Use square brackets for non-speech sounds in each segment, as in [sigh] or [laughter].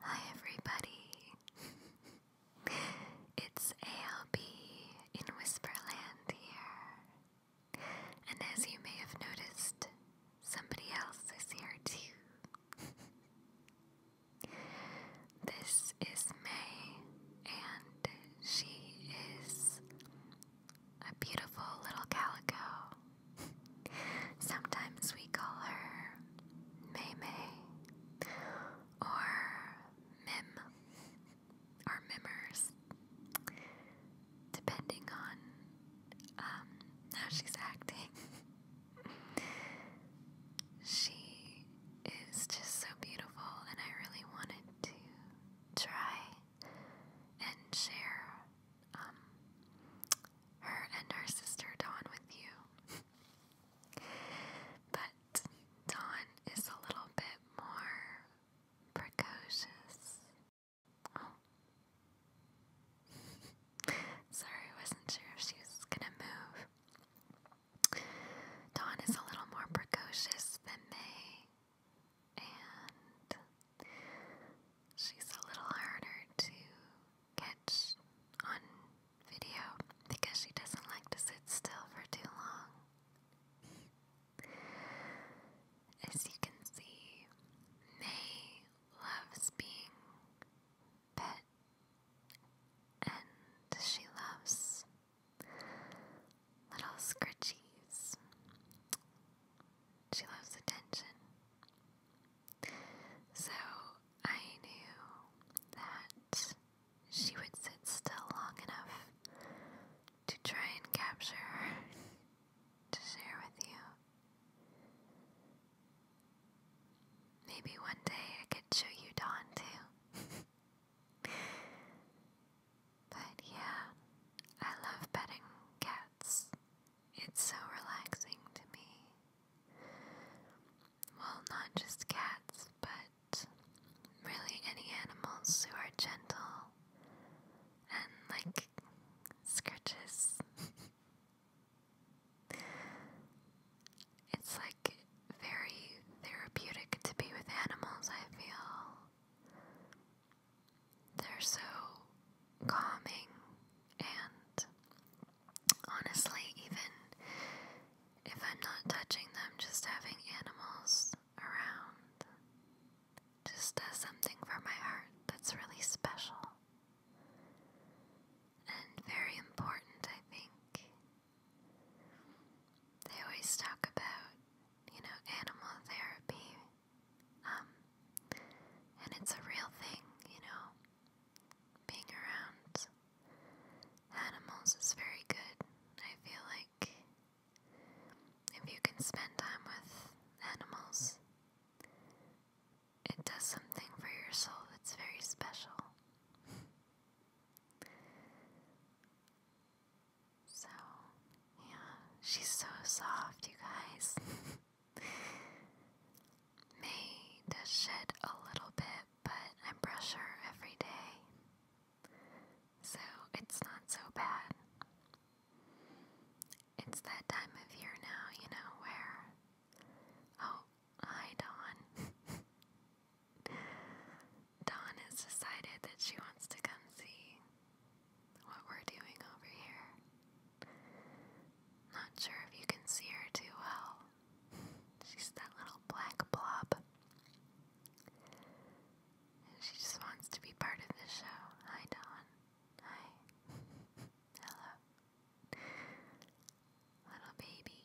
Hi everybody. [laughs] it's ALB in Whisperland here. And as you may have noticed, somebody else is here too. [laughs] this is May and she is a beautiful little calico. [laughs] Sometimes we call her May May or Mim or Mimmers, depending on um, how she's acting. she is just so beautiful, and I really wanted to try and share um, her and her sister Dawn with you. But Dawn is a little bit more precocious. Oh. [laughs] Sorry, wasn't sure if she was gonna move. Dawn is a little more precocious than May, and she's a little harder to gets on video because she doesn't like to sit still for too long. As you can see, May loves being pet and she loves little scritchies. She loves attention. So I knew that she would sit still long enough to try and capture her to share with you. Maybe one day I could show you Dawn too. but yeah, I love petting cats. It's so relaxing to me. Well, not just cats, but really any animals who are gentle and like scratches. it's like very therapeutic to be with animals, I feel. They're so calming and honestly, even if I'm not touching them, just having animals around just does something for my heart that's really special and very important, I think. They always talk about, you know, animal therapy, um, and it's a real thing, you know being around animals is very good. I feel like if you can spend time with animals, it does something for your soul that's very special. so, yeah, she's so soft, you guys. [laughs] May does shed a little bit it, but I brush her every day. So it's not so bad. It's that time of year now, you know, where. Oh, hi, Dawn. [laughs] Dawn has decided that she wants to come see what we're doing over here. Not sure if you can see her too well, She's that little black blob. And she just wants to be part of the show. Hi, Dawn. Hi. [laughs] Hello. Little baby.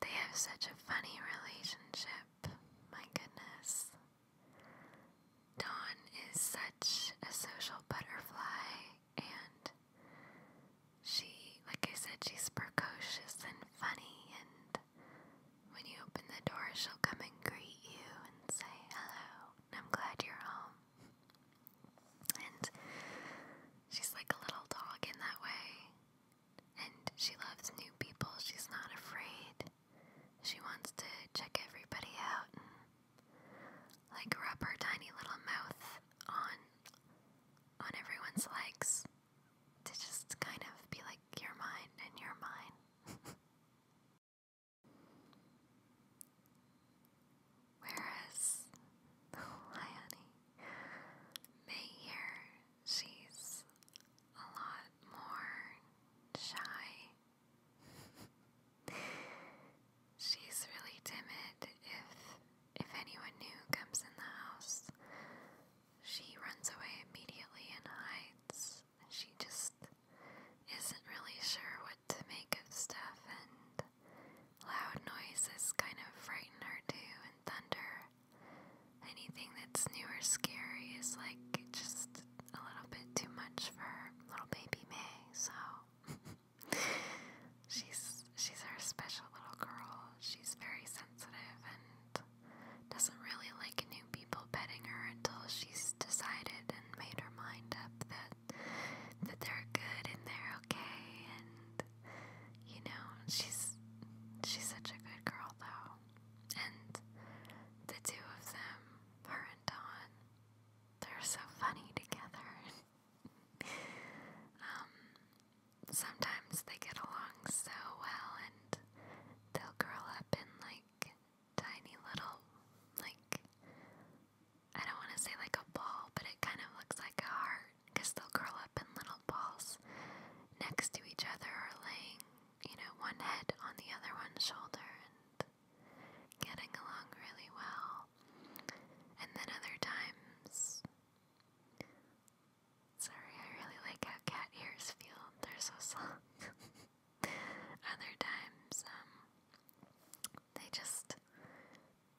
They have such a funny relationship. My goodness. Dawn is such a social butterfly and she, like I said, she's precocious and funny, and when you open the door, she'll come and greet you and say hello. I'm glad you're home. And she's like a little dog in that way. And she loves new people. She's not afraid. She wants to check everybody out like rub her tiny little mouth on on everyone's legs to just kind of be like you're mine and you're mine. [laughs] Whereas Liani [laughs] may hear she's a lot more shy. [laughs] She's really timid. If if anyone new comes in the house, she runs away immediately and hides. She just isn't really sure what to make of stuff and loud noises kind of frighten her too and thunder. Anything that's new or scary is like just a little bit too much for little baby May, so [laughs] she's she's our special little girl. She's very sensitive and doesn't really like new people petting her until she's decided and made her mind up that that they're good and they're okay and you know, she's she's such a good girl though. And the two of them, her and Dawn, they're so funny together. [laughs] Um, sometimes they get along so well and they'll curl up in like tiny little, like, I don't want to say like a ball, but it kind of looks like a heart because they'll curl up in little balls next to each other or laying, you know, one head on the other one's shoulder and getting along really well. And then other times. Sorry, I really like how cat ears feel. They're so soft. [laughs] other times, um, they just,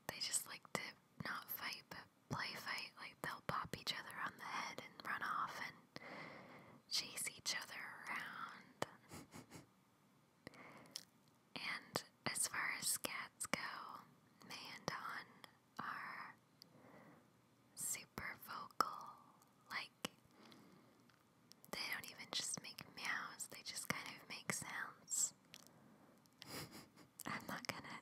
they just like to not fight, but play fight. Like they'll pop each other on the head and run off and chase each other around. [laughs] And as far as cats go, May and Dawn are super vocal. Like, they don't even just make meows, they just kind of make sounds. [laughs] I'm not gonna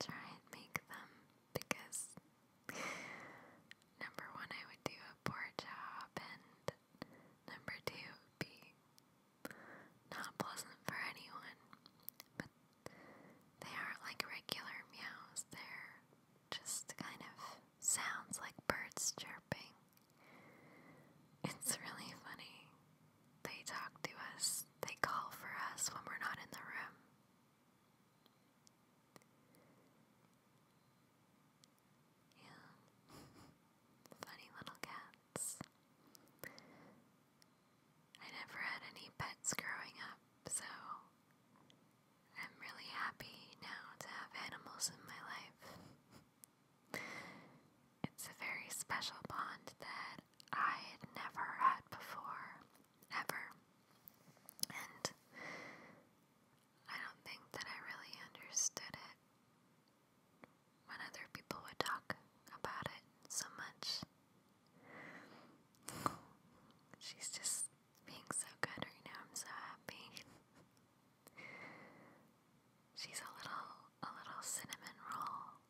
try and make them because, number one, I would do a poor job, and number two, be not pleasant for anyone, but they aren't like regular meows, they're just kind of sounds like birds chirping. [laughs] It's really funny. They talk to us, they call for us when we're not in the room. Yeah. [laughs] funny little cats. I never had any pets growing up, so I'm really happy now to have animals in my life. it's a very special bond that I had never had before, ever. And I don't think that I really understood it when other people would talk about it so much. She's just being so good right now. I'm so happy. She's a little a little cinnamon roll.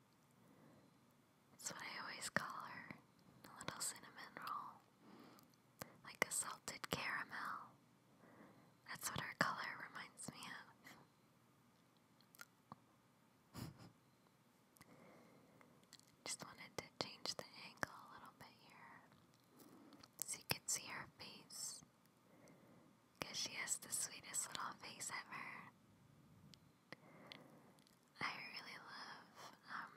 That's what I always call her. A little cinnamon roll. Like a salted caramel. That's what her color reminds me of. [laughs] Just wanted to change the angle a little bit here so you can see her face. Because she has the sweetest little face ever. I really love, um,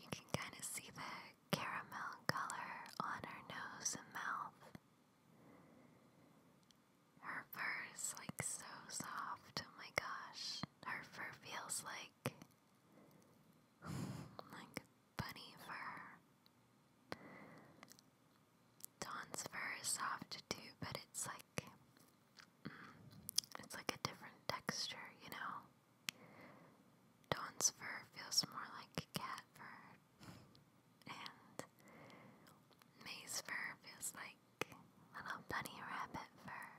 you can kind of see the caramel color on her nose and mouth. Her fur's like so soft. Oh my gosh. Her fur feels like [laughs] like bunny fur. Dawn's fur is soft too, but it's like mm, it's like a different texture, you know. Dawn's fur feels more like cat fur and May's fur feels like little bunny rabbit fur.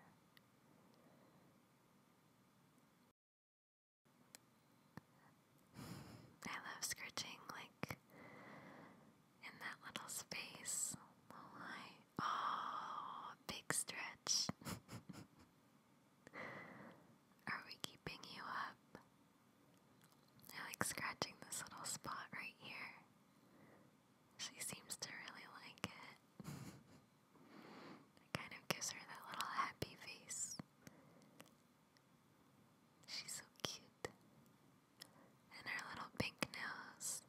I love scratching like in that little space. oh big stretch. [laughs] Are we keeping you up? I like scratching this little spot right here. She seems to really like it. it kind of gives her that little happy face. She's so cute. And her little pink nose.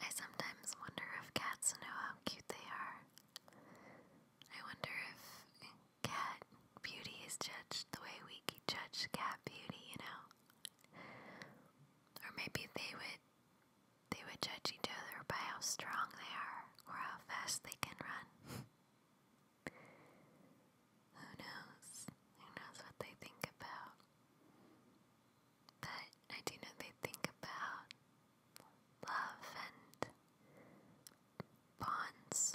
I sometimes wonder if cats know how cute they are. I wonder if cat beauty is judged the way we judge cat beauty, you know? Or maybe they would they would judge each other by how strong they are or how fast they can run. Who knows? Who knows what they think about? But I do know they think about love and bonds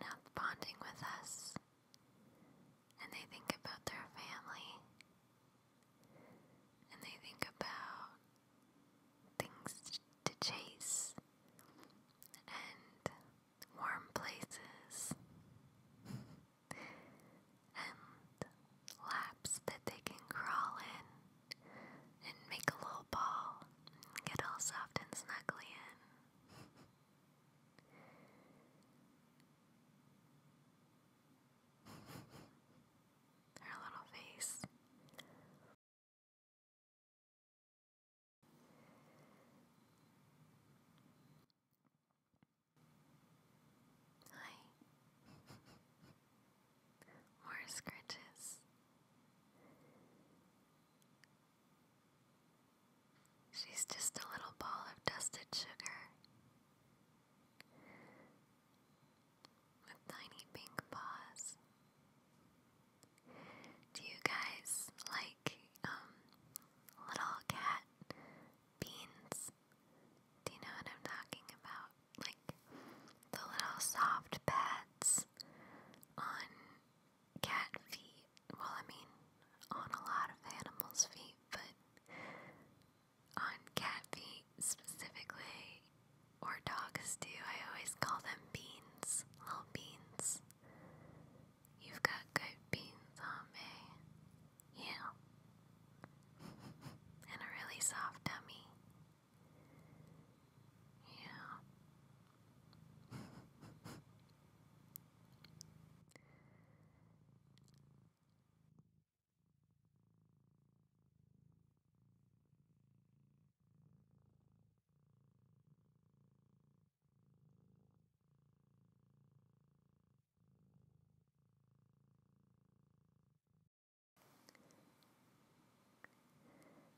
now bonding with us, and they think about their family, and they think about things to chase and warm places and laps that they can crawl in and make a little ball and get all soft and snuggly in. Her little face. Hi. [laughs] More scratches. She's just a little ball of dusted sugar with tiny pink paws. Do you guys like um little cat beans? Do you know what I'm talking about? Like the little soft pads on cat feet. Well, I mean, on a lot of animals' feet, but on cat feet specifically, or dogs do, I always call them beans, little beans. You've got good beans on me. Yeah. [laughs] and a really soft tummy. Yeah. [laughs]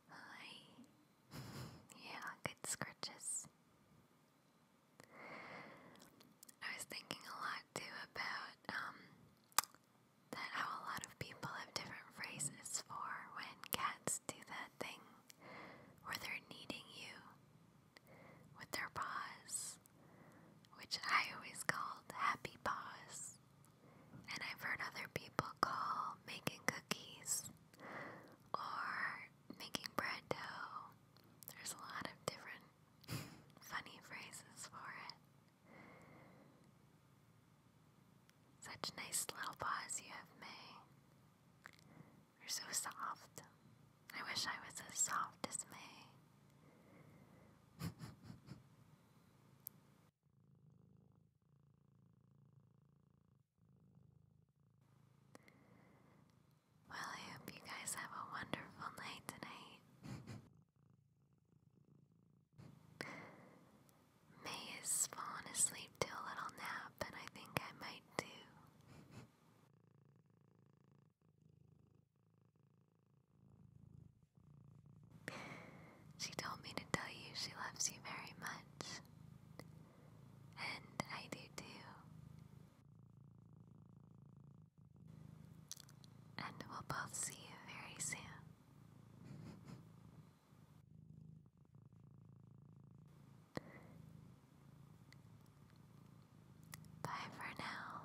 Hi. [laughs] yeah, good scratches. I was thinking a lot too about um, that how a lot of people have different phrases for when cats do that thing where they're kneading you with their paws, which I always called happy paws. And I've heard other people call making cookies or making bread dough there's a lot of different funny phrases for it. Such nice little paws you have, May. You're so soft. I wish I was as soft as May. [laughs] Well, I hope you guys have a wonderful night tonight. May is fallen asleep to a little nap, and I think I might too. She told me to tell you she loves you very much. And I do too. And we'll both see you very soon. Bye for now.